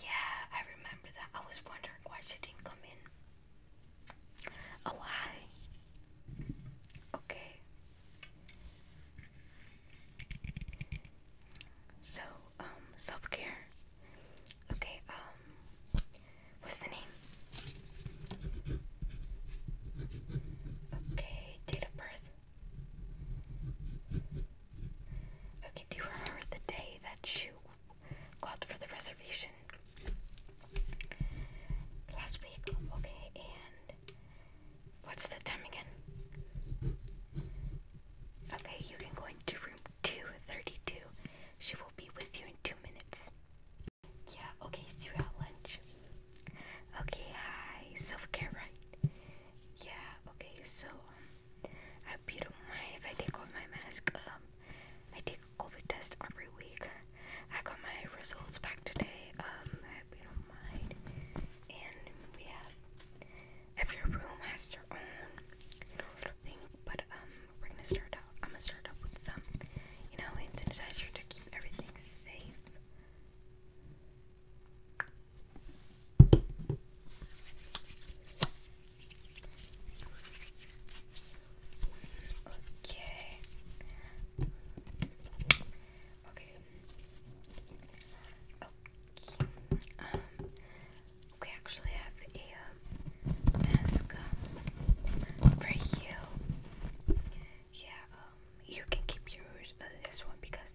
Yeah, I remember that. I was wondering why she didn't come in. Oh, hi. Okay. So, um, self care. Okay, um, what's the name? Okay, date of birth. Okay, do you remember the day that you called for the reservation? Last week, okay, and what's the time again? Okay, you can go into room 232. She will be with you in two minutes. Yeah, okay, see lunch. Okay, hi, self care, right? Yeah, okay, so, um, I hope you don't mind if I take off my mask. Um, I take COVID test every week. I got my results back today. Um, I hope you don't mind. And we have, if room has their own little thing, but um, we're gonna start out. I'm gonna start up with some, you know, hand sanitizer to keep everything safe. Okay. Okay. Um, okay. we actually have a uh, mask um, for you. Yeah. Um, you can keep yours, but uh, this one because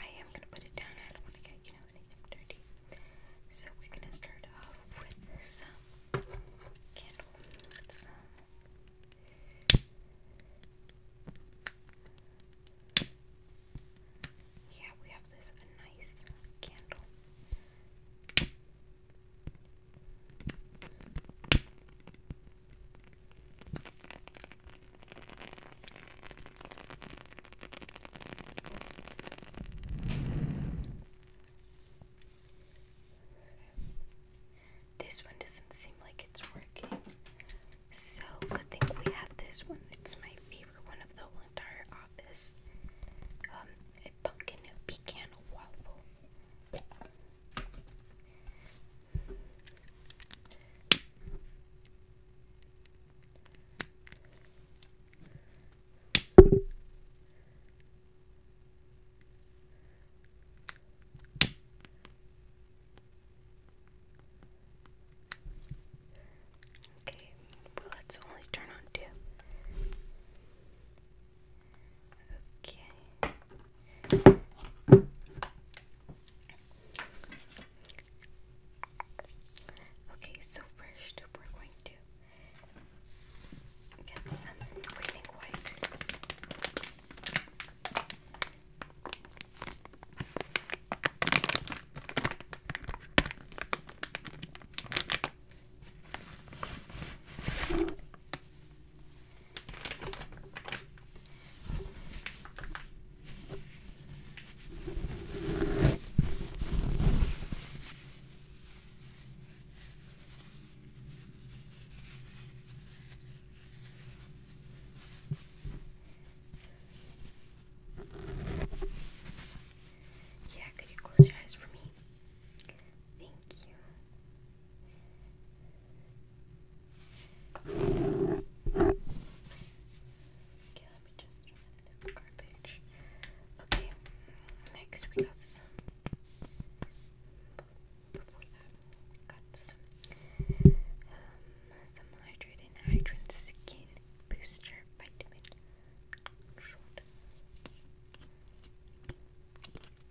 I am gonna put it down. I don't want to get you know anything dirty. So we're gonna start off with this um, candle. Let's, um, yeah, we have this nice candle. This one doesn't seem like it's working. So good thing we have this one. It's my favorite one of the entire office. Um, a pumpkin pecan waffle. Okay, well, let's only turn on two. Okay. Okay, so first we're going to get some cleaning wipes. Yeah, could you close your eyes for me? Thank you. Okay, let me just run the garbage. Okay, next we got some. um, some hydrating hydrant skin booster vitamin short.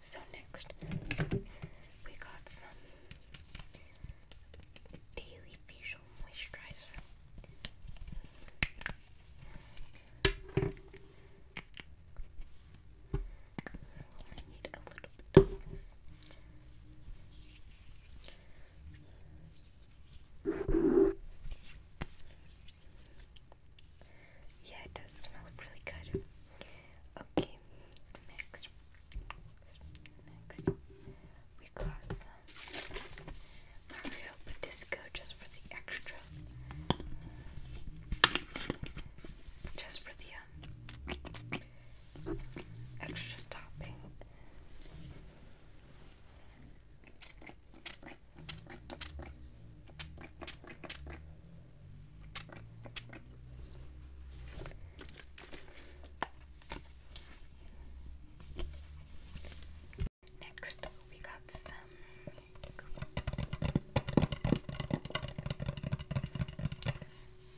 So next we got some daily facial moisturizer. I need a little bit yeah, it does smell really good. Okay, next. we got some Mario Disco just for the extra. Just for the um, extra topping. Next, we got some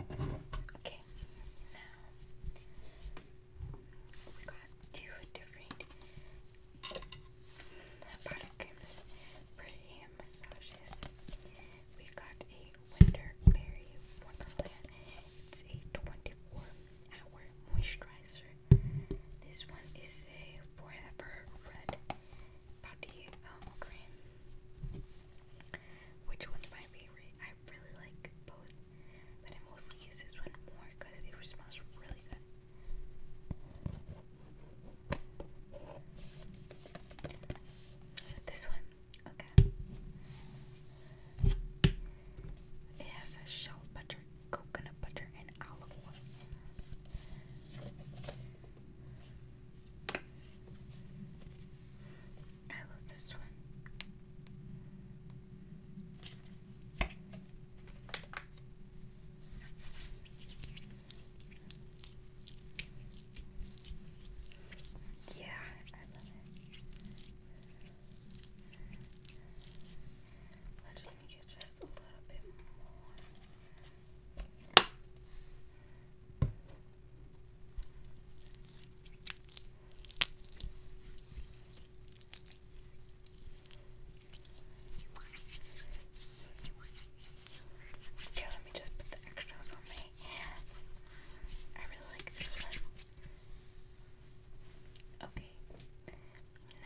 Okay, now we got two different product creams for hand massages. We got a Winterberry Wonderland. It's a 24 hour moisturizer. This one is a Forever Red Body um, Cream. Which one's my favorite? I really like both, but I mostly use this one more because it smells really good. This one, okay. It has a shell butter, coconut butter, and olive oil. I love this one. Yeah, I love it. Let me get just a little bit more. Okay, let me just put the extras on my I really like this one. Okay,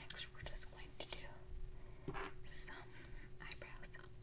next we're just going to do some eyebrows.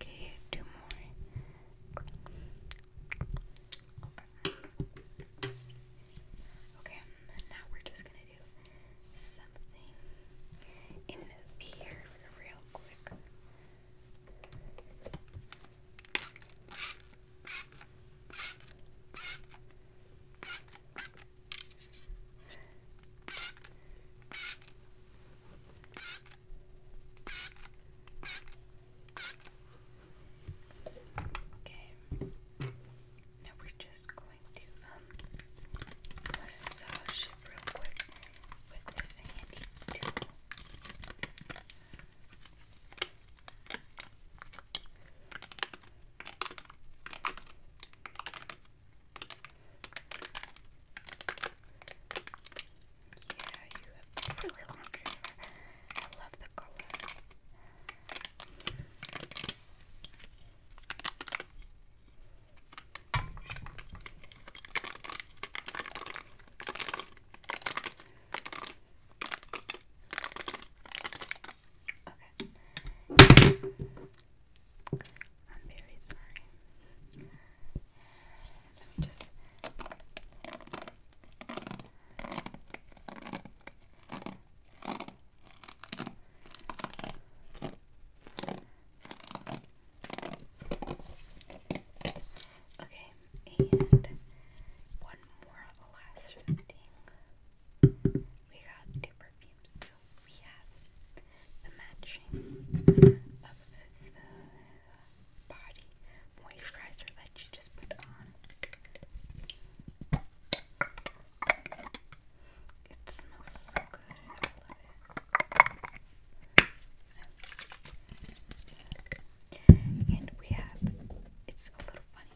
Okay, two more. Okay. now we're just gonna do something in the air real quick. Okay. Now we're just going to um, massage real quick with this handy tool. Yeah, you have really long hair. I love the color. Okay. I'm very sorry. Let me just. Okay, and one more last thing. We got two perfumes. we have the matching of the uh, body moisturizer that you just put on. It smells so good. I love it. And we have, it's a little funny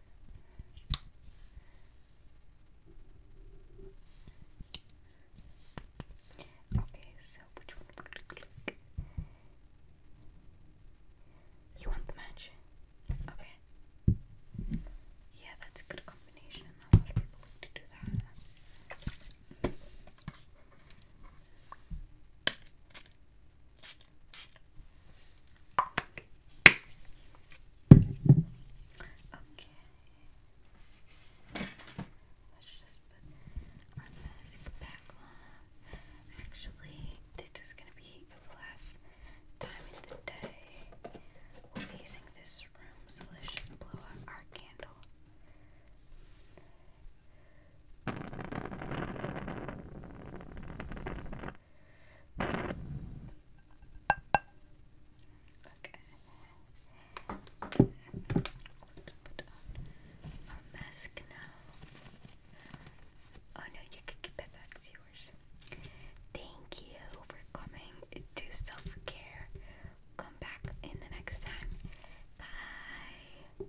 Okay, so which one? You want the match? Okay. Yeah, that's a good combination. A lot of people like to do that. Okay. Let's just put our mask back on. Actually, this is gonna be the last time in the day we'll using this room, so let's just blow out our candle. Okay. Let's put on our mask now. Oh no, you can keep it, that's yours. Thank you for coming to self care. Come back in the next time. Bye.